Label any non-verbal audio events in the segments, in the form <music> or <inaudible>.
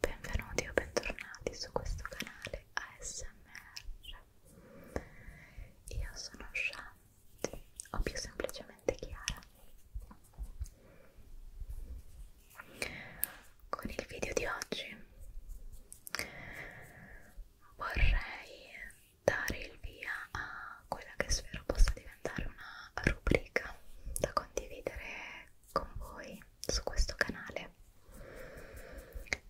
benvenuti o bentornati su questo canale ASMR io sono Shanti o più semplicemente Chiara con il video di oggi vorrei dare il via a quella che spero possa diventare una rubrica da condividere con voi su questo canale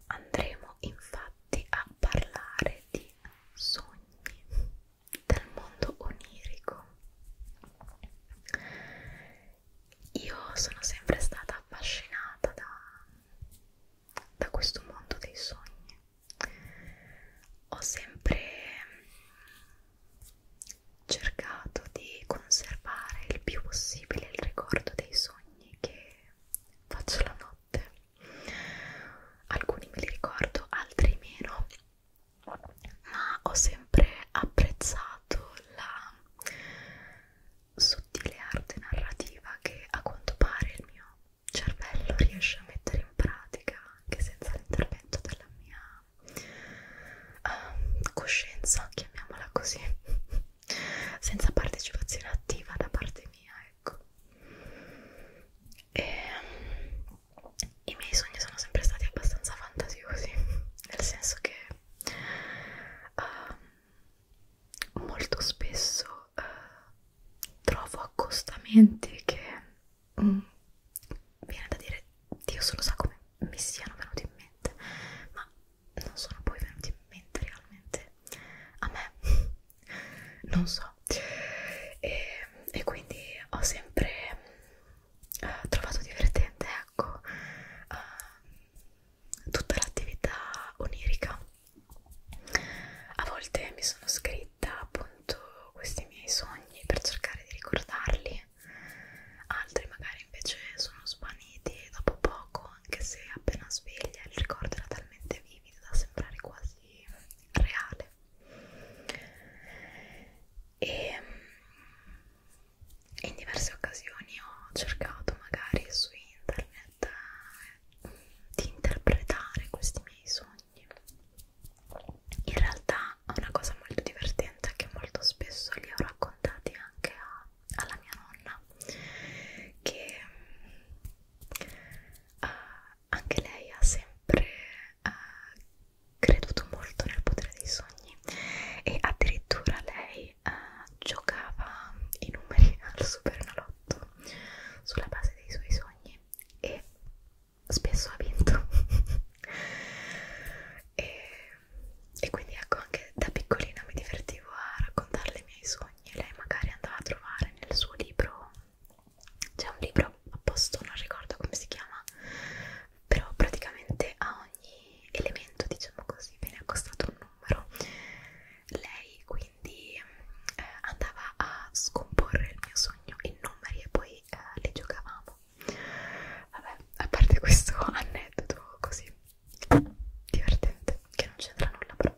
andremo infatti a parlare di sogni del mondo onirico io sono sempre stata affascinata da, da questo mondo dei sogni ho sempre cercato di conservare il più possibile il ricordo dei sogni che faccio la notte. Alcuni me li ricordo, altri meno, ma ho sempre apprezzato la sottile arte narrativa che a quanto pare il mio cervello riesce a mettere in pratica anche senza l'intervento della mia uh, coscienza, chiamiamola così, <laughs> senza partecipazione attiva da parte mia, ecco. E, um, I miei sogni sono sempre stati abbastanza fantasiosi, <laughs> nel senso che uh, molto spesso uh, trovo accostamenti che... Mm, viene da dire Dio solo sa come mi siano venuti in mente, ma non sono poi venuti in mente realmente a me, <laughs> non so, e, e quindi ho sempre uh, trovato divertente, ecco, uh, tutta l'attività onirica. A volte mi sono scritta appunto questi miei sogni per cercare di ricordarli altri magari invece sono svaniti dopo poco anche se appena sveglia il ricordo era talmente vivido da sembrare quasi reale e in diverse occasioni ho cercato magari su internet eh, di interpretare questi miei sogni in realtà ma una cosa molto divertente è che molto spesso li ho raccontati anche a, alla mia nonna che uh, anche lei ha sempre uh, creduto molto nel potere dei sogni e addirittura lei uh, giocava i numeri <laughs> al superenalotto sulla base dei suoi sogni e spesso ha vinto <laughs> e e quindi ecco anche da piccolina mi divertivo a raccontarle i miei sogni e lei magari andava a trovare nel suo libro c'è un libro apposto, non ricordo come si chiama però praticamente a ogni elemento diciamo così viene accostato un numero lei quindi eh, andava a scomporre il mio sogno in numeri e poi eh, li giocavamo Vabbè, a parte questo <laughs> aneddoto così divertente, che non c'entra nulla però.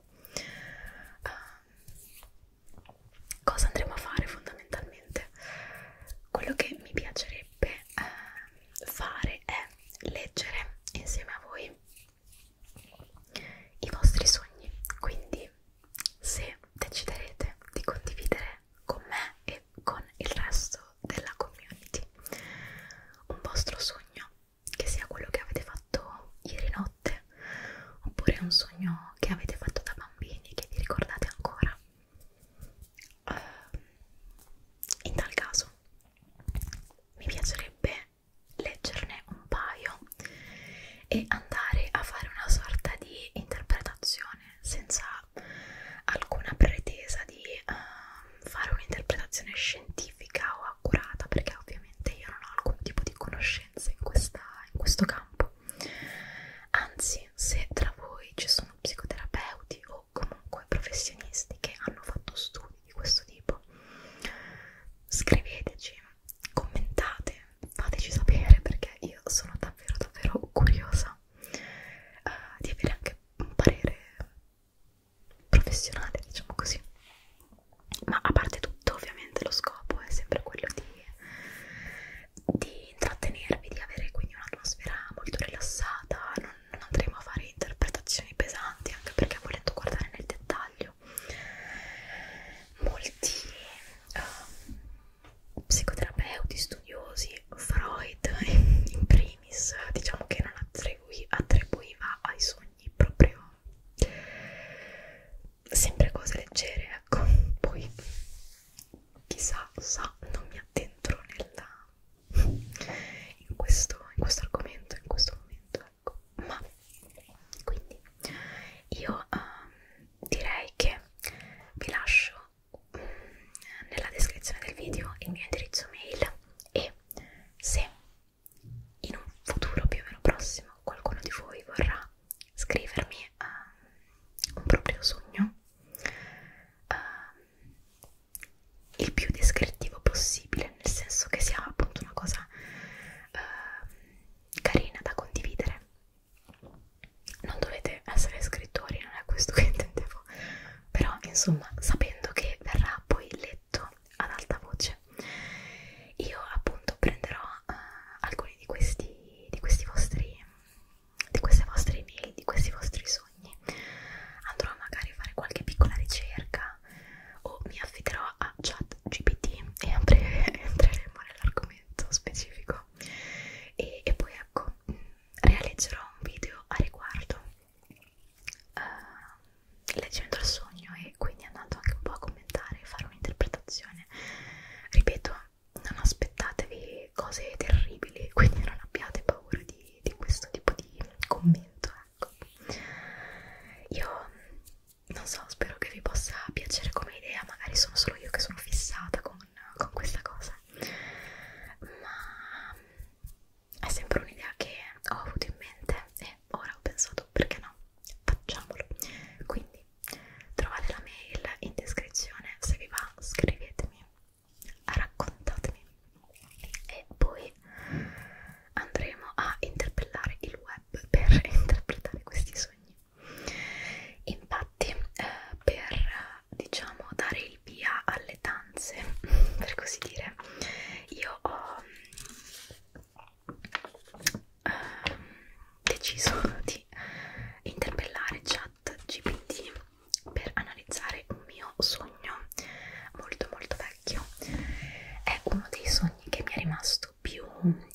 Uh, cosa andremo a fare fondamentalmente? Quello che mi piacerebbe uh, fare è leggere insieme a voi i vostri sogni, quindi se deciderete di condividere con me e con il resto della community un vostro sogno che sia quello che avete fatto ieri notte oppure un sogno che avete fatto da bambini che vi ricordate ancora uh, in tal caso mi piacerebbe leggerne un paio e andare a fare una sorta di interpretazione senza alcuna pretesa di uh, fare un'interpretazione scientifica o accurata perché ovviamente io non ho alcun tipo di conoscenza in, questa, in questo campo anzi se tra voi ci sono psicoterapeuti o comunque professionisti che hanno fatto studi di questo tipo scriveteci commentate fateci sapere perché io sono davvero davvero curiosa ma uh, eh, di avere anche un parere professionale, diciamo così. Ma a parte tutto, ovviamente lo scopo è sempre quello di, di intrattenervi, di avere quindi un'atmosfera molto rilassata, non, non andremo a fare interpretazioni pesanti, anche perché volendo guardare nel dettaglio molti, uh, psicoterapeuti, studiosi, Freud <laughs> in primis, diciamo che non attribui, attribuiva ai sogni proprio sempre cose leggere, ecco, poi chissà, sa, non mi addentro nella, in, questo, in questo argomento, in questo momento, ecco, ma quindi io um, direi che vi lascio nella descrizione del video il mio indirizzo mail e se in un futuro più o meno prossimo qualcuno di voi vorrà scrivermi um, un proprio sogno um, il più descrittivo possibile nel senso che sia appunto una cosa um, carina da condividere non dovete essere scrittori, non è questo che <laughs> intendevo, però insomma sapendo che verrà poi letto ad alta voce, io appunto prenderò uh, alcuni di questi, di questi vostri, di queste vostre email, di questi vostri sogni, andrò magari a fare qualche piccola ricerca o mi affiderò a chat GPT e a <laughs> breve entreremo nell'argomento specifico no? E, e poi ecco, realizzerò un video a riguardo uh, eh, leggendo il sogno e quindi andando anche un po' a commentare e fare un'interpretazione. Ripeto, non aspettatevi cose terribili, quindi non abbiate paura di, di questo tipo di commento, ecco. Io non so, spero che vi possa piacere come idea, magari sono solo io che sono fissata con con, con questa cosa ma è sempre un'idea che ho avuto in mente e ora ho pensato perché no facciamolo quindi trovate la mail in descrizione se vi va scrivetemi raccontatemi e poi andremo a interpellare il web per <laughs> interpretare questi sogni Infatti, eh, per diciamo dare il via alle danze, <laughs> per così dire, io ho eh, deciso <laughs> di interpellare chat GPT per analizzare un mio sogno molto molto vecchio. È uno dei sogni che mi è rimasto più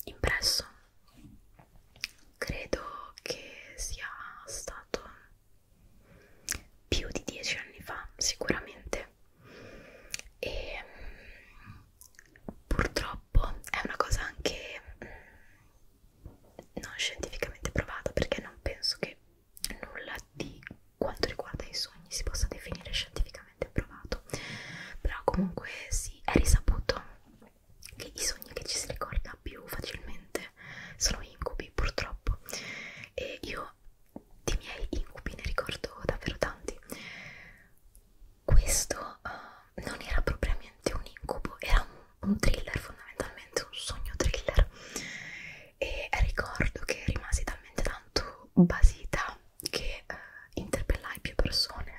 impresso credo che sia stato più di dieci anni fa sicuramente e mm, purtroppo è una cosa anche mm, non scientificamente provata perché non penso che nulla di quanto riguarda i sogni si possa definire scientificamente provato però comunque sì, è risaputo che i sogni che ci si ricorda più facilmente sono incubi purtroppo e io di miei incubi ne ricordo davvero tanti questo uh, non era propriamente un incubo era un, un thriller fondamentalmente un sogno thriller e ricordo che rimasi talmente tanto basita che uh, interpellai più persone persone,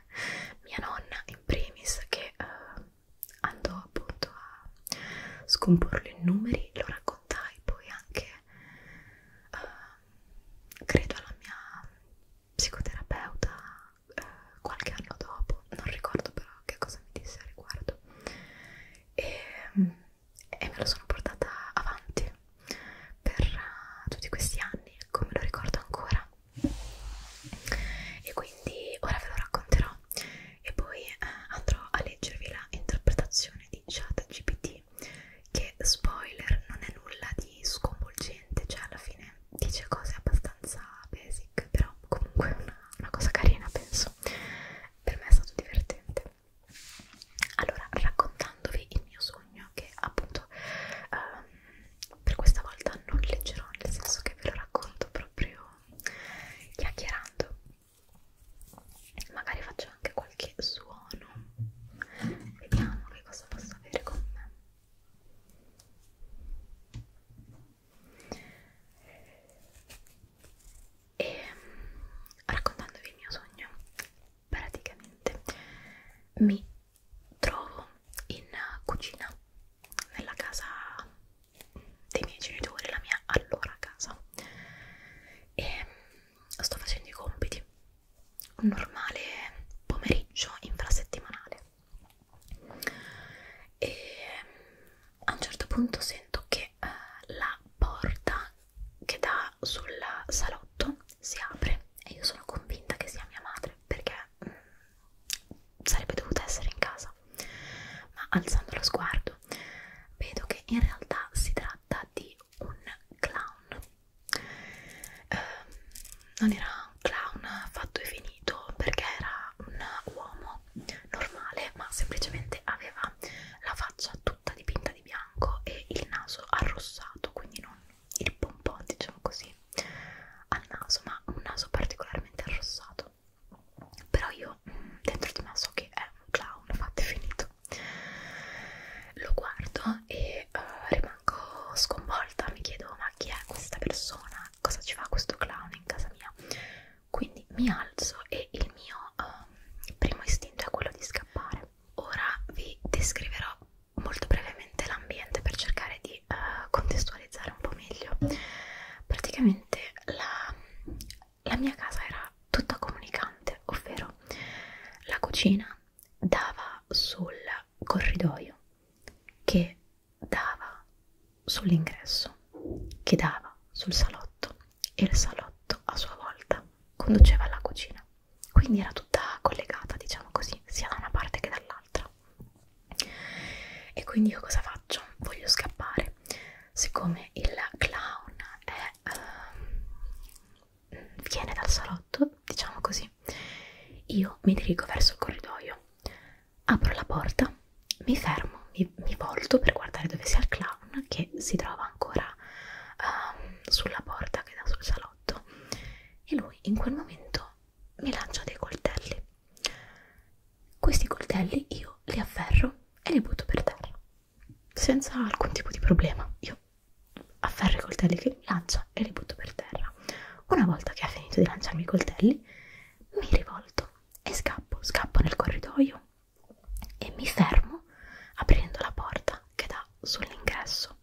mia nonna in primis che eh, andò appunto a scomporlo in numeri, lo raccontai poi anche eh, credo alla mia psicoterapeuta eh, qualche anno dopo, non ricordo però che cosa mi disse al riguardo e, e me lo sono portata avanti per uh, tutti questi anni, come lo ricordo ancora e quindi ora ve lo racconterò e poi eh, andrò a leggervi la interpretazione di ChatGPT che spoiler non è nulla di sconvolgente cioè alla fine dice cose abbastanza basic però comunque una, una cosa carina penso per me è stato divertente allora raccontandovi il mio sogno sottolineo che appunto um, per questa volta non leggerò, nel senso che ve lo racconto proprio chiacchierando. Magari faccio anche qualche suono. Vediamo che cosa posso avere con me. E raccontandovi il mio sogno, praticamente mi trovo in cucina nella casa dei miei genitori, la mia allora casa e mm, sto facendo i compiti un normale pomeriggio infrasettimanale e mm, a un certo punto sento che eh, la porta che dà sul salotto si apre e io sono convinta che sia mia madre perché mh, mm, sarebbe dovuta essere in casa ma alzando lo sguardo vedo che in realtà si tratta di un clown eh, non era un clown fatto e finito perché era un uomo normale ma semplicemente aveva la faccia tutta dipinta di bianco e il naso arrossato quindi non il pompon diciamo così al naso ma un naso particolarmente arrossato però io mm, dentro di me so che è un clown fatto e finito lo guardo e uh, rimango sconvolta mi chiedo ma chi è questa persona cosa ci fa questo clown in casa mia quindi mi alzo e il mio um, primo istinto è quello di scappare ora vi descriverò molto brevemente l'ambiente per cercare di uh, contestualizzare un po' meglio. Praticamente la, la mia casa era tutta comunicante, ovvero la cucina dava sul corridoio che dava sull'ingresso, che dava sul salotto e il salotto a sua volta conduceva alla cucina quindi era tutta collegata diciamo così sia da una parte che dall'altra e quindi io cosa faccio? voglio scappare siccome il clown è, ehm, viene dal salotto diciamo così io mi dirigo verso il corridoio apro la porta mi fermo mi, mi volto per guardare dove sia il clown che si trova ancora ehm, sulla porta che dà sul salotto salotto e lui in quel momento mi lancia dei coltelli. Questi coltelli io li afferro e li butto per terra, senza alcun tipo di problema. Io afferro i coltelli che mi lancia e li butto per terra. Una volta che ha finito di lanciarmi i coltelli, mi rivolto e scappo, scappo nel corridoio e mi fermo aprendo la porta che dà sull'ingresso.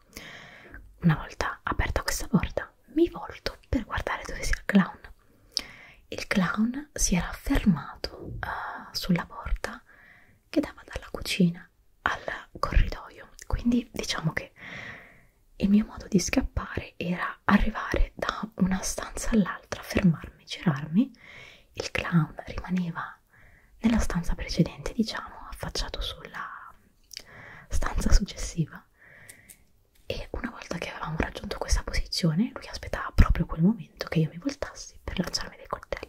Una volta aperta questa porta, mi volto per guardare dove sia il clown. Il clown si era fermato uh, sulla porta che dava dalla cucina al corridoio, quindi diciamo che il mio modo di scappare era arrivare da una stanza all'altra, fermarmi, girarmi, il clown rimaneva nella stanza precedente, diciamo, affacciato sulla stanza successiva. E una volta che avevamo raggiunto questa posizione, lui aspettava proprio quel momento che io mi voltassi per lanciarmi dei coltelli.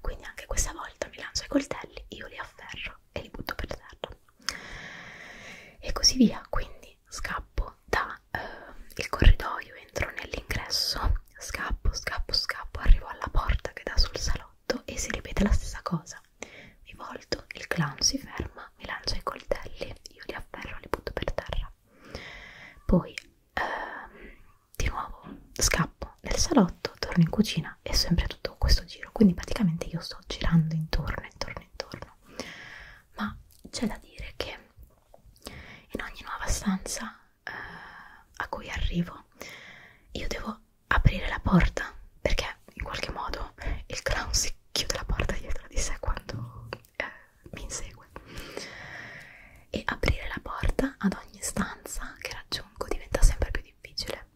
Quindi anche questa volta mi lancia i coltelli, io li afferro e li butto per terra. E così via, quindi scappo dal eh, corridoio, entro nell'ingresso scappo, scappo, scappo, arrivo alla porta che dà sul salotto e si ripete la stessa cosa. Mi volto, il clown si ferma, mi lancia i coltelli, io li afferro e li butto per terra. Poi ehm, di nuovo scappo nel salotto, torno in cucina e sempre tutto questo giro. Quindi praticamente io sto girando intorno, intorno, intorno. Ma c'è da dire che in ogni nuova stanza eh, a cui arrivo, io devo aprire la porta perché in qualche modo il clown si chiude la porta dietro di sé quando eh, mi insegue e aprire la porta ad ogni stanza che raggiungo diventa sempre più difficile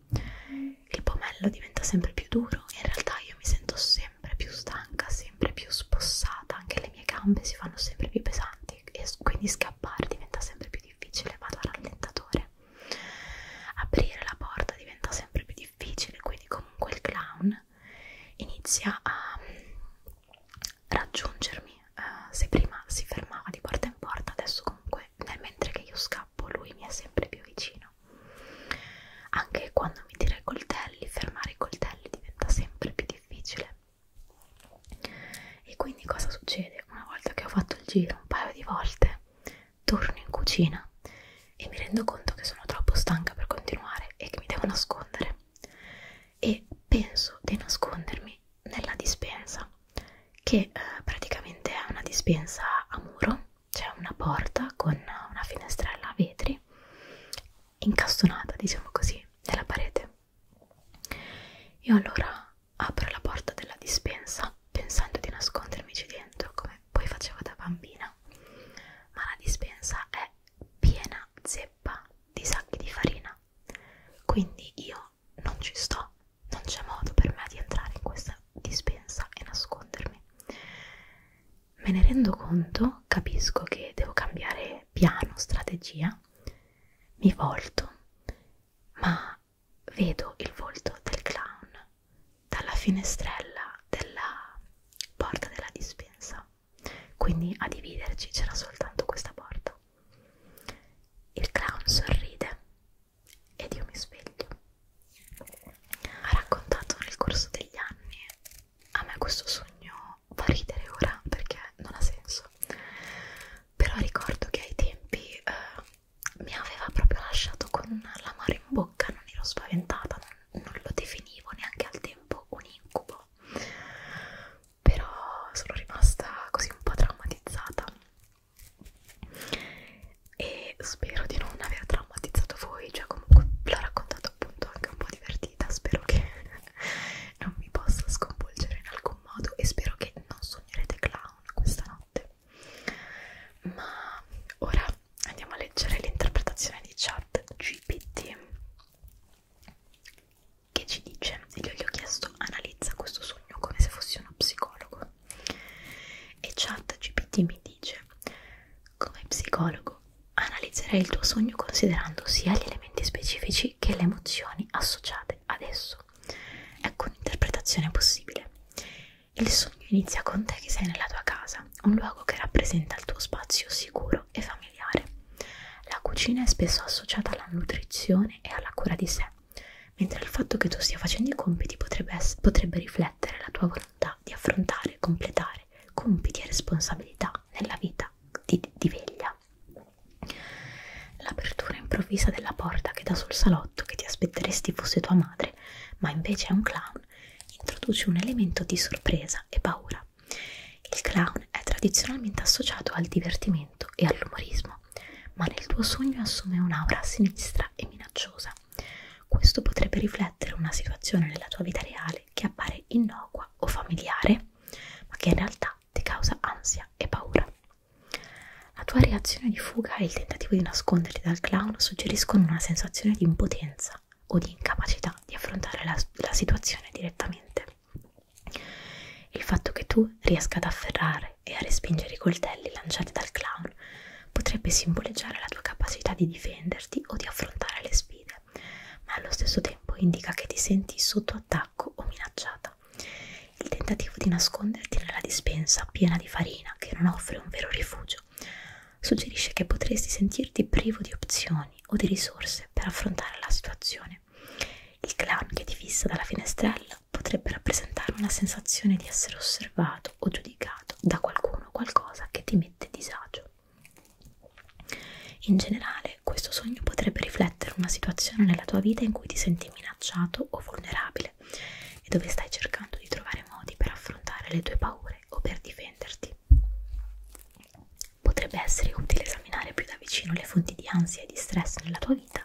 il pomello diventa sempre più duro e in realtà io mi sento sempre più stanca sempre più spossata anche le mie gambe si fanno sempre più pesanti e quindi scappare diventa sempre più più difficile vado al rallentatore aprire la porta diventa sempre più difficile quindi comunque il clown inizia a mm, raggiungermi uh, se prima si fermava di porta in porta adesso comunque nel mentre che io scappo lui mi è sempre più vicino anche quando mi tira i coltelli fermare i coltelli diventa sempre più difficile e quindi cosa succede? Una volta che ho fatto il giro un paio di volte, torno in cucina e mi rendo conto che sono troppo stanca per continuare e che mi devo nascondere. E penso di nascondermi nella dispensa, che eh, praticamente è una dispensa a muro, c'è cioè una porta con una finestrella a vetri incastonata, diciamo così, nella parete. Io allora apro la porta della dispensa pensando di nascondermici dentro come poi facevo da bambina, ma la dispensa è piena zeppa di sacchi di farina, quindi io non ci sto, non c'è modo per me di entrare in questa dispensa e nascondermi. Me ne rendo conto, capisco che devo cambiare piano, strategia mi volto, ma vedo il volto del clown dalla finestrella della porta della dispensa. Quindi a dividerci c'era soltanto questa porta. Il clown sorride ed io mi sveglio. Ha raccontato nel corso degli anni a me questo sogno no, fa ridere ora perché non ha senso però ricordo che ai tempi eh, mi aveva proprio lasciato con l'amore in bocca non ero spaventata non, non lo definivo neanche al tempo un incubo però sono rimasta così un po' traumatizzata e spero di non aver traumatizzato voi, cioè comunque l'ho raccontato appunto anche un po' divertita, spero che non mi possa sconvolgere in alcun modo e spero che non sognerete clown questa notte. Ma ora andiamo a leggere l'interpretazione di chat GPT che ci dice, io gli ho chiesto analizza questo sogno come se fossi uno psicologo e chat GPT mi dice come psicologo Analizzerai il tuo sogno considerando sia gli elementi specifici che le emozioni associate ad esso. Ecco un'interpretazione possibile. Il sogno inizia con te che sei nella tua casa, un luogo che rappresenta il tuo spazio sicuro e familiare. La cucina è spesso associata alla nutrizione e alla cura di sé, mentre il fatto che tu stia facendo i compiti potrebbe, potrebbe riflettere la tua volontà di affrontare e completare compiti e responsabilità nella vita di, di veglia. L'apertura improvvisa della porta che dà sul salotto che ti aspetteresti fosse tua madre, ma invece è un clown, introduce un elemento di sorpresa e paura. Il clown è tradizionalmente associato al divertimento e all'umorismo, ma nel tuo sogno assume un'aura sinistra e minacciosa. Questo potrebbe riflettere una situazione nella tua vita reale che appare innocua o familiare te, ma che in realtà ti causa ansia e paura. La tua reazione di fuga e il tentativo di nasconderti dal clown suggeriscono una sensazione di impotenza o di incapacità di affrontare la, la situazione direttamente. Il fatto che tu riesca ad afferrare e a respingere i coltelli lanciati dal clown potrebbe simboleggiare la tua capacità di difenderti o di affrontare le sfide ma allo stesso tempo indica che ti senti sotto attacco o minacciata. Il tentativo di nasconderti nella dispensa piena di farina che non offre un vero rifugio suggerisce che potresti sentirti privo di opzioni o di risorse per affrontare la situazione. Il clown che ti fissa dalla finestrella potrebbe rappresentare una sensazione di essere osservato o giudicato da qualcuno o qualcosa che ti mette disagio. In generale, questo sogno potrebbe riflettere una situazione nella tua vita in cui ti senti minacciato o vulnerabile e dove stai cercando di trovare modi per affrontare le tue paure o per difenderti. Potrebbe essere utile esaminare più da vicino le fonti di ansia e di stress nella tua vita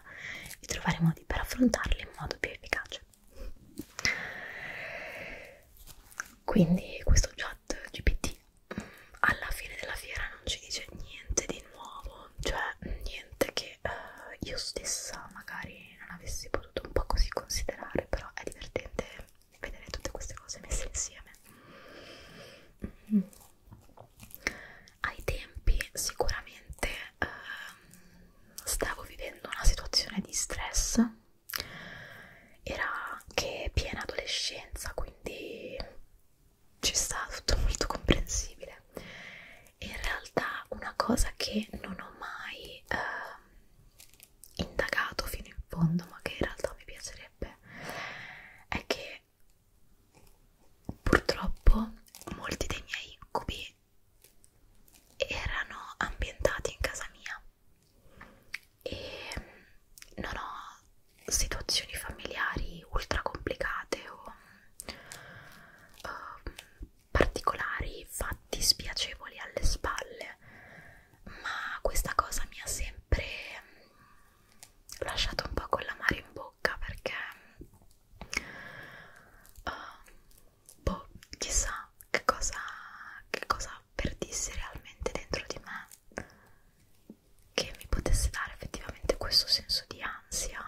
e trovare modi per affrontarle in modo più efficace. Quindi questo già chat GPT mm, alla fine della fiera non ci dice niente di nuovo, cioè niente che eh, io stessa magari non avessi potuto un po' così considerare, però è divertente vedere tutte queste cose messe insieme. Mm. Ai tempi sicuramente eh, stavo vivendo una situazione di stress era anche piena adolescenza quindi ci sta tutto molto comprensibile e in realtà una cosa che non ho mai eh, indagato fino in fondo ma che in realtà mi piacerebbe è che purtroppo molti dei miei incubi erano ambientati in casa mia e non ho situazioni familiari ultra complicate o uh, particolari fatti spiacevoli alle spalle ma questa cosa mi ha sempre ehm, lasciato un po' con l'amaro in bocca perché uh, boh chissà che cosa che cosa avvertissi realmente dentro di me che mi potesse dare effettivamente questo senso di ansia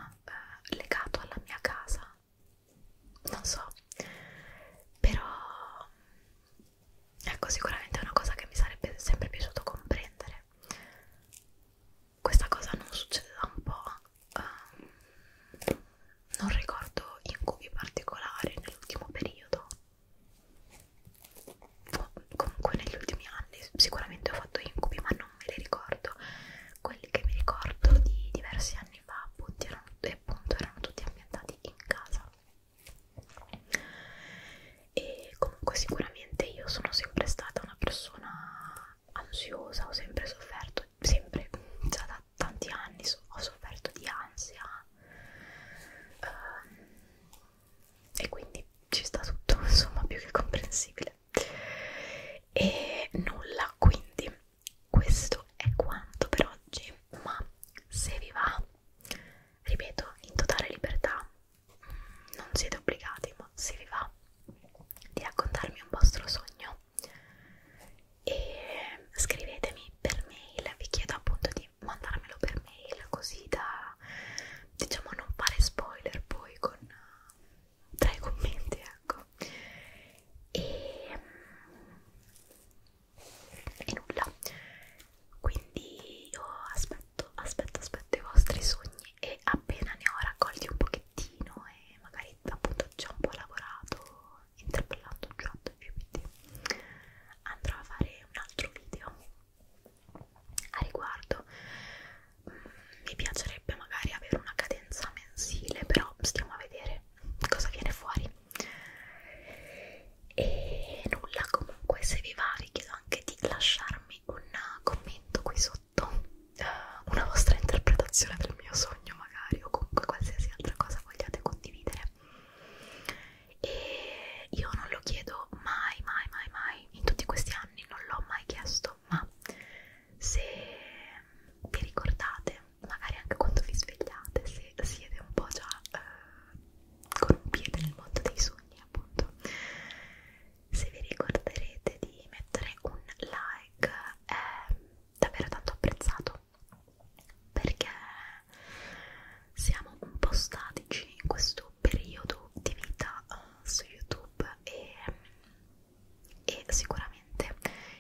eh, legato alla mia casa non so però ecco sicuramente è una cosa che mi sarebbe sempre piaciuto comprendere questa cosa non succede da un po' um, non ricordo incubi particolari nell'ultimo periodo comunque negli ultimi anni sicuramente ho fatto incubi ma non me li ricordo quelli che mi ricordo di diversi anni fa appunto erano, appunto, erano tutti ambientati in casa e comunque sicuramente io sono sempre stata una persona ansiosa ho sempre sofferto sempre già da tanti anni ho sofferto di ansia um, e quindi ci sta tutto <laughs> insomma più che comprensibile e nulla quindi questo è quanto per oggi ma se vi va ripeto in totale libertà mm, non siete obbligati ma se vi va di raccontarmi un vostro sogno e scrivetemi per mail, vi chiedo appunto di mandarmelo per mail così da diciamo non fare spoiler poi con tra i commenti ecco e, e nulla quindi io aspetto aspetto aspetto i vostri sogni e appena ne ho raccolti un pochettino e magari appunto ci ho un po' lavorato interpellando ChatGPT andrò a fare un altro video a riguardo mm, mi piacerebbe magari avere una cadenza mensile però stiamo a vedere cosa viene fuori e nulla comunque se vi va vi chiedo anche di lasciarmi un commento qui sotto eh, una vostra interpretazione del mio sogno magari o comunque qualsiasi altra cosa vogliate condividere e io non lo chiedo mai mai mai mai in tutti questi anni non l'ho mai chiesto ma se vi ricordate magari anche quando vi svegliate se siete un po' già eh, con un piede nel mondo dei sogni appunto se vi ricorderete di mettere un like è davvero tanto apprezzato perché siamo un po' statici in questo periodo di vita uh, su YouTube e, e sicuramente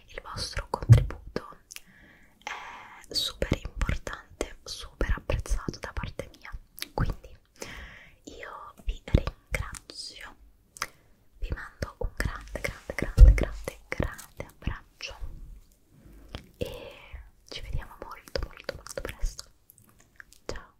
il vostro contributo è super importante, super apprezzato da parte mia. Quindi io vi ringrazio, vi mando un grande, grande, grande, grande, grande abbraccio e ci vediamo molto molto molto presto ciao